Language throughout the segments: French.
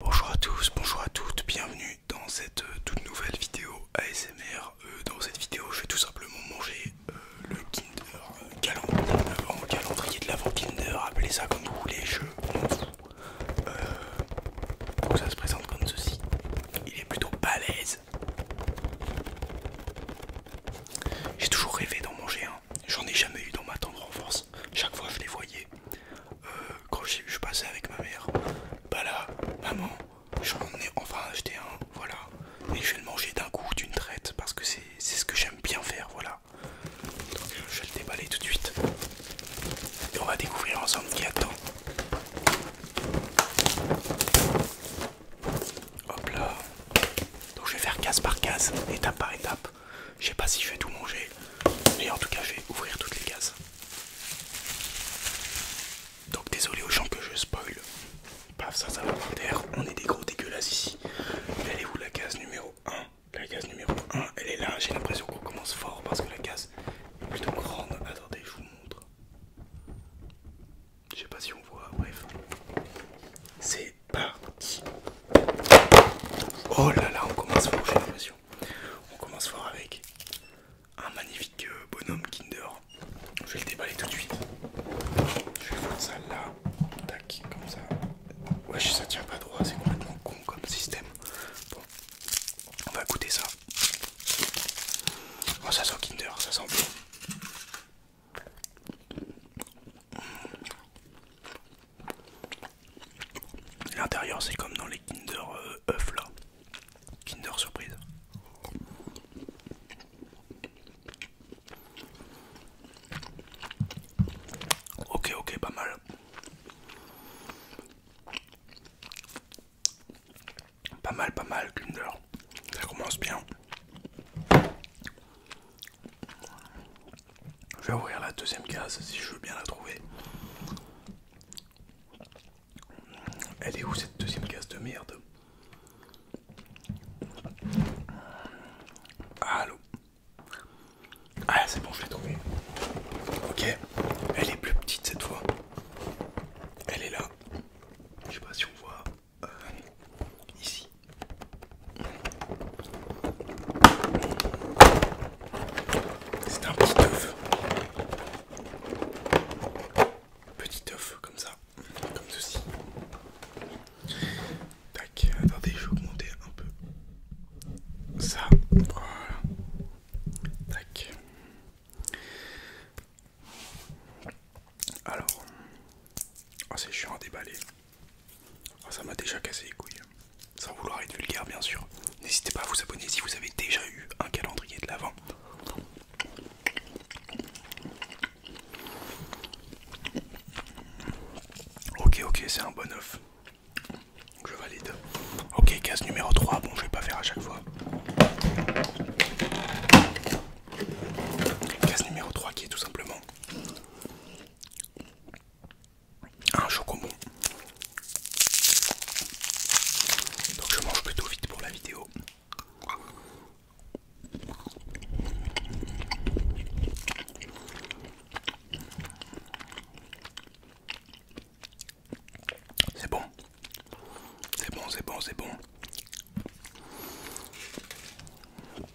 Bonjour à tous, bonjour à toutes, bienvenue dans cette euh, toute nouvelle vidéo ASMR. Euh, dans cette vidéo, je vais tout simplement manger euh, le Kinder calendrier, de l'avant Kinder, appelez ça comme vous voulez, je ça se présente comme ceci. Il est plutôt l'aise. J'ai toujours rêvé d'en manger un. J'en ai jamais eu dans ma tendre enfance. Chaque fois je les voyais. Euh, quand je suis passé avec ma mère, bah là, maman, j'en ai enfin acheté un, voilà. Et je vais le manger d'un coup, d'une traite, parce que c'est ce que j'aime bien faire, voilà. Donc je vais le déballer tout de suite. Et on va découvrir ensemble qui attend. Hop là. Donc je vais faire case par case, étape par étape. Je sais pas si je vais tout manger, mais en tout cas je vais ouvrir toutes les cases. Donc désolé aux gens que je spoil. Paf, ça, ça va On est des gros dégueulasses ici. Mais vous où la case numéro 1 La case numéro 1, elle est là. J'ai l'impression qu'on commence fort parce que la case est plutôt grande. Attendez, je vous montre. Je sais pas si on voit, bref. C'est par Oh là là, on commence fort, j'ai l'impression. On commence fort avec un magnifique euh, bonhomme Kinder. Je vais le déballer tout de suite. Je vais faire ça là. Tac, comme ça. Wesh, ça tient pas droit, c'est complètement con comme système. Bon, on va goûter ça. Oh, ça sent Kinder, ça sent bon. L'intérieur c'est comme dans les Kinder euh, là. Kinder surprise. Ok ok pas mal. Pas mal pas mal Kinder. Ça commence bien. Je vais ouvrir la deuxième case si je veux bien la trouver. Elle est où cette deuxième case de merde Allô Ah c'est bon je l'ai trouvée. Ok, elle est plus petite cette fois. Elle est là. Je sais pas si on voit euh, ici. C'est un petit œuf. Petit œuf comme ça, comme ceci. Tac, attendez, je vais augmenter un peu. Ça, voilà. Tac. Alors, oh, c'est chiant à déballer. Oh, ça m'a déjà cassé les couilles. Hein. Sans vouloir être vulgaire, bien sûr. N'hésitez pas à vous abonner si vous avez déjà eu un calendrier de l'avant. Ok, ok, c'est un bon œuf. Je valide. Ok, case numéro 3. Bon, je vais pas faire à chaque fois. Case numéro 3 qui est tout simplement un chocobon. Donc je mange plutôt vite pour la vidéo. C'est bon, c'est bon, c'est bon, c'est bon.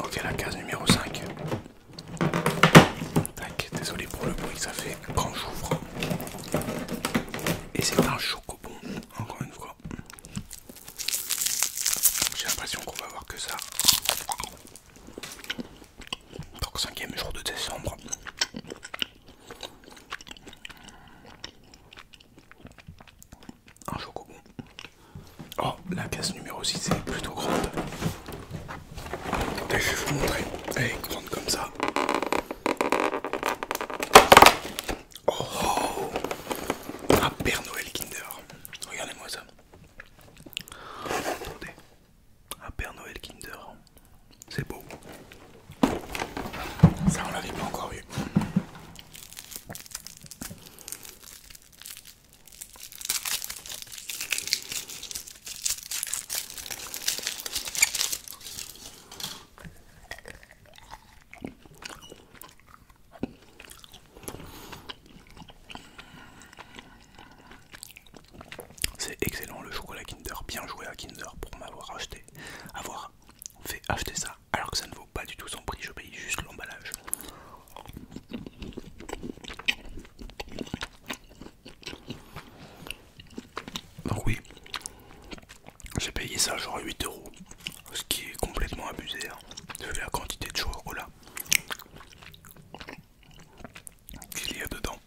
Ok, la case numéro 5. Tac, désolé pour le bruit ça fait quand j'ouvre. Et c'est un chocobon, encore une fois. J'ai l'impression qu'on va voir que ça. Donc, 5ème jour de décembre. Un chocobon. Oh, la case numéro 6 est plutôt grande. je vais vous montrer. Elle est grande comme ça. Oh, oh. Père Noël Kinder. Regardez-moi ça. Attendez. Un Père Noël Kinder. C'est beau. Ça, on l'avait pas encore vu C'est excellent le chocolat Kinder, bien joué à Kinder pour m'avoir acheté, avoir fait acheter ça alors que ça ne vaut pas du tout son prix, je paye juste l'emballage. Donc oui, j'ai payé ça genre 8 euros, ce qui est complètement abusé hein, de la quantité de chocolat oh qu'il y a dedans.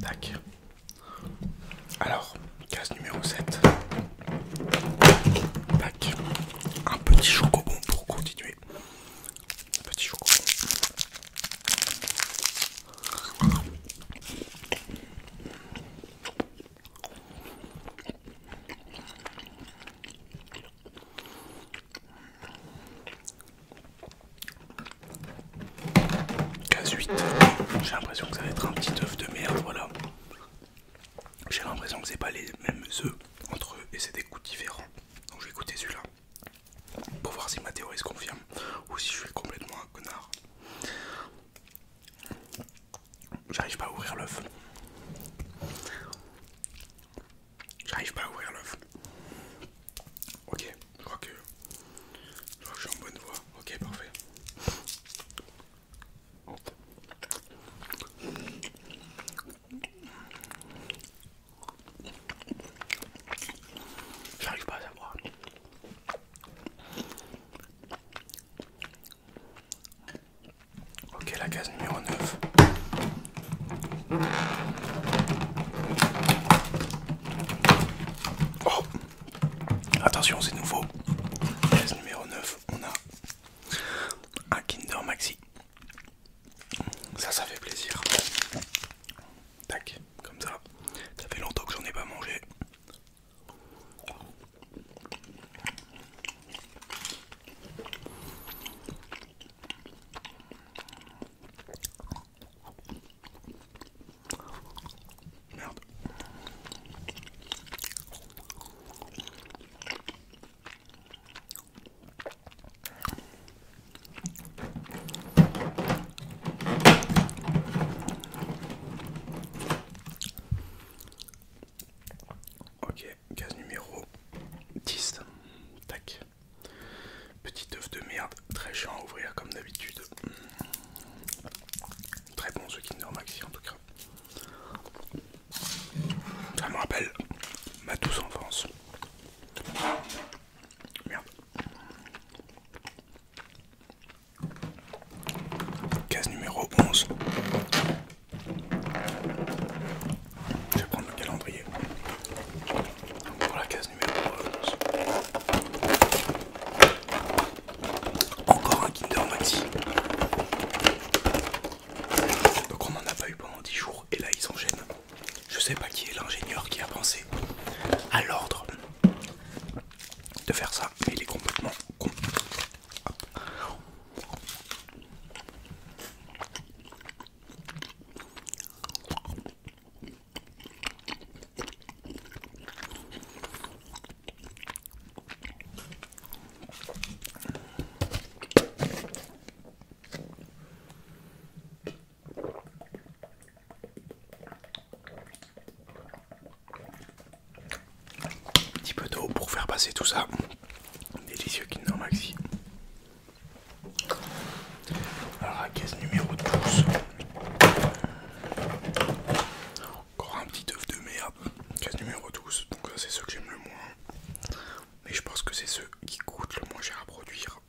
Tac. Alors, case numéro 7. Tac. Un petit chocobon pour continuer. petit chocobon. Cas 8, j'ai l'impression que ça va être un petit œuf de merde, voilà. J'ai l'impression que c'est pas les mêmes œufs entre eux et c'est des goûts différents. Donc je vais écouter celui-là pour voir si ma théorie se confirme ou si je suis complètement un connard. J'arrive pas à ouvrir l'œuf. J'arrive pas à ouvrir l'œuf. Ok, je crois que je crois que je suis en bonne voie. Ok, parfait. J'arrive pas à savoir. Ok, la case numéro 9. Attention, c'est nouveau. Case numéro 9, on a un Kinder Maxi. Ça, ça fait plaisir. Tac, comme ça. Ça fait longtemps que j'en ai pas mangé. Ok, case numéro 10. Tac. Petit œuf de merde, très chiant à ouvrir comme d'habitude. Très bon ce Kinder Maxi en tout cas. Ça me rappelle ma douce enfance. Merde. Case numéro 11. Je vais prendre le calendrier. Pour la case numéro 11. Encore un Kinder Maxi. Donc on n'en a pas eu pendant 10 jours et là ils enchaînent. Je sais pas qui est l'ingénieur qui a pensé à l'ordre de faire ça, mais il est complètement con. Un petit peu d'eau pour faire passer tout ça. Délicieux Kinder Maxi. Alors la caisse numéro 12. Encore un petit œuf de merde. Caisse numéro 12. Donc ça c'est ceux que j'aime le moins. Mais je pense que c'est ceux qui coûtent le moins cher à produire.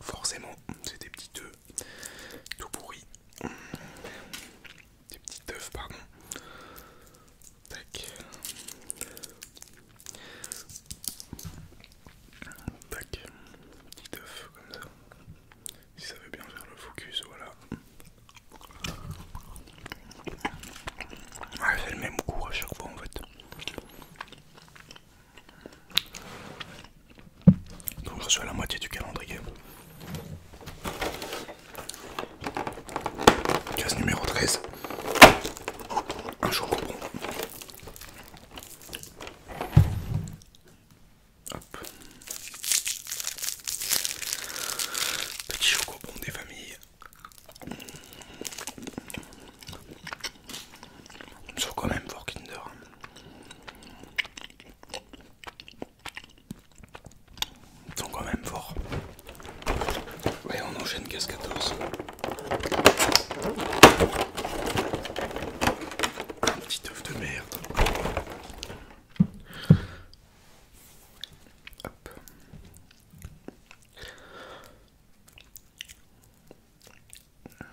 Forcément, c'est des petits œufs tout pourris. Des petits œufs, pardon. Tac. Tac. Petit œuf comme ça. Si ça veut bien faire le focus, voilà. Ah, c'est le même goût à chaque fois en fait. Donc je suis à la moitié du calendrier. Case numéro 13. Un jour bon. Petit chocobon des familles sont quand même fort Kinder. Ils sont quand même forts. Ouais, on enchaîne casse 14. Un petit œuf de merde. Hop. Euh...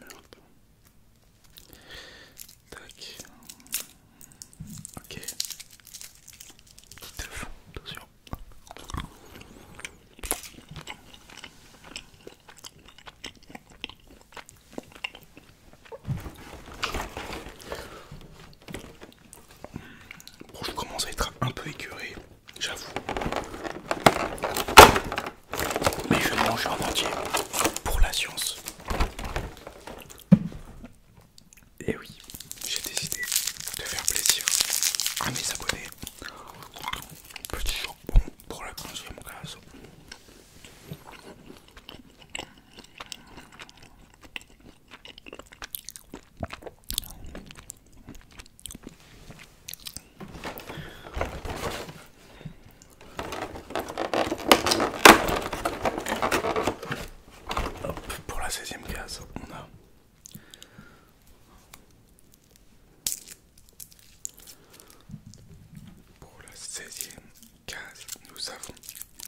Merde. Tac. Ok. Teuf, attention. Bon, je commence à être un peu écuré j'avoue. Mais je mange en entier pour la science. Et oui, j'ai décidé de faire plaisir à mes abonnés. Petit jambon pour la mon case. Hop, pour la 16e case, on a pour la 16e case, nous avons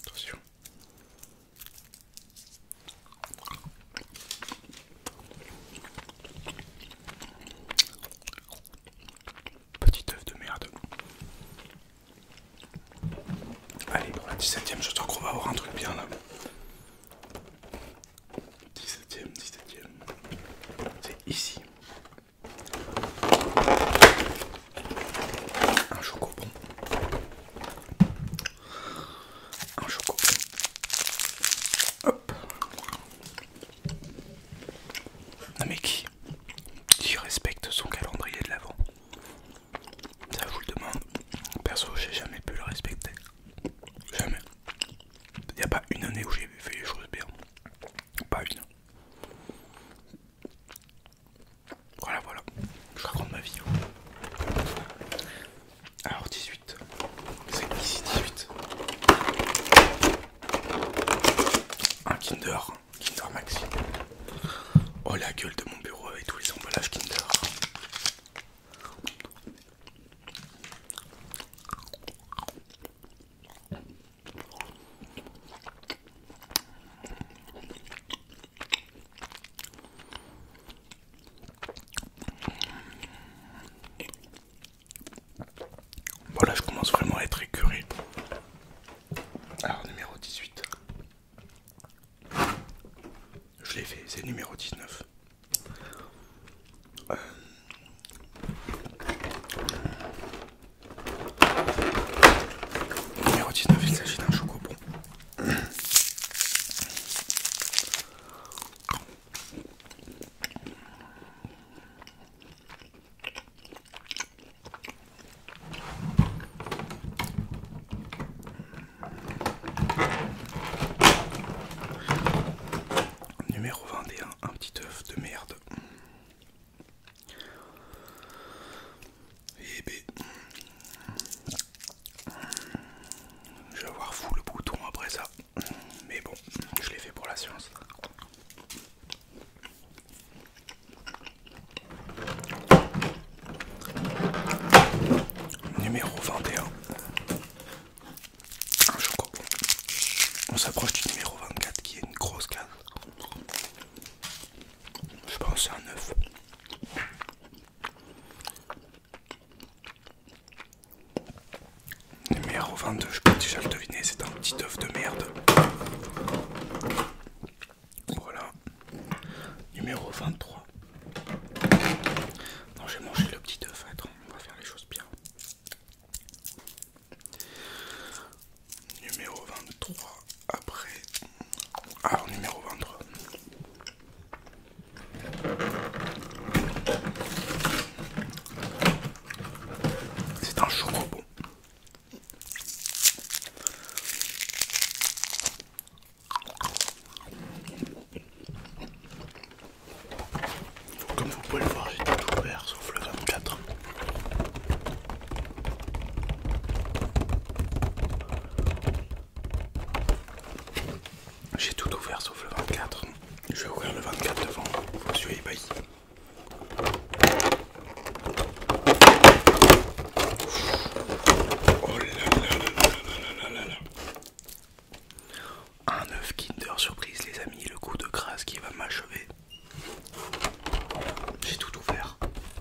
attention Petit œuf de merde. Allez, pour la 17 e je crois qu'on va avoir un truc bien là. 17ème, 17 e C'est ici. Un chocobon un choco. Hop. Non mais qui Qui respecte son calendrier de l'avant Ça je vous le demande. Perso j'ai jamais pu le respecter. Jamais. Il n'y a pas une année où j'ai fait les choses bien. Pas une. Voilà, voilà, je raconte ma vie. Hein. Alors 18, c'est ici 18. Un Kinder, Kinder Maxi. Oh la gueule de mon bureau avec tous les emballages Kinder. Voilà, je commence vraiment à être écuré. Alors, numéro 18. Je l'ai fait, c'est numéro 19. Euh. Numéro 19, il s'agit d'un chocobon Numéro 21, un petit œuf de merde. Et eh b ben, je vais avoir fou le bouton après ça. Mais bon, je l'ai fait pour la science. Numéro 21. Ah, je crois on s'approche du numéro 24 qui est une grosse case. Je pense à un œuf. Numéro 22, je peux déjà le deviner, c'est un petit œuf de merde. Voilà. Numéro 23. Non, j'ai mangé le petit œuf. on va faire les choses bien. Numéro 23. Après, alors ah, numéro 23. C'est un robot. Comme vous pouvez le voir, j'ai tout ouvert sauf le 24. J'ai tout ouvert sauf le 24. Je vais ouvrir le 24 devant Monsieur suis ébahi Oh Un œuf Kinder surprise les amis, le coup de grâce qui va m'achever. J'ai tout ouvert.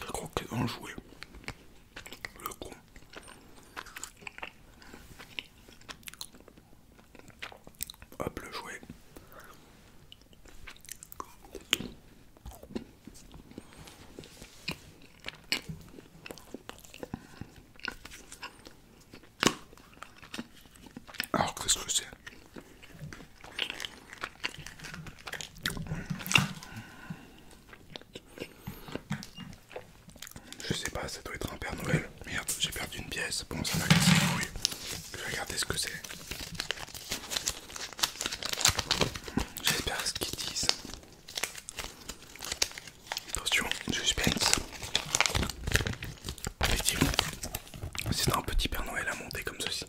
Je crois qu'il en jouet. Le con. Hop, le jouet. Alors qu'est-ce que c'est Je sais pas, ça doit être un Père Noël. Merde, j'ai perdu une pièce. Bon, ça m'a cassé le bruit. Je vais regarder ce que c'est. J'espère ce qu'ils disent. Attention, je suspense. Effectivement, c'est un petit Père Noël à monter comme ceci.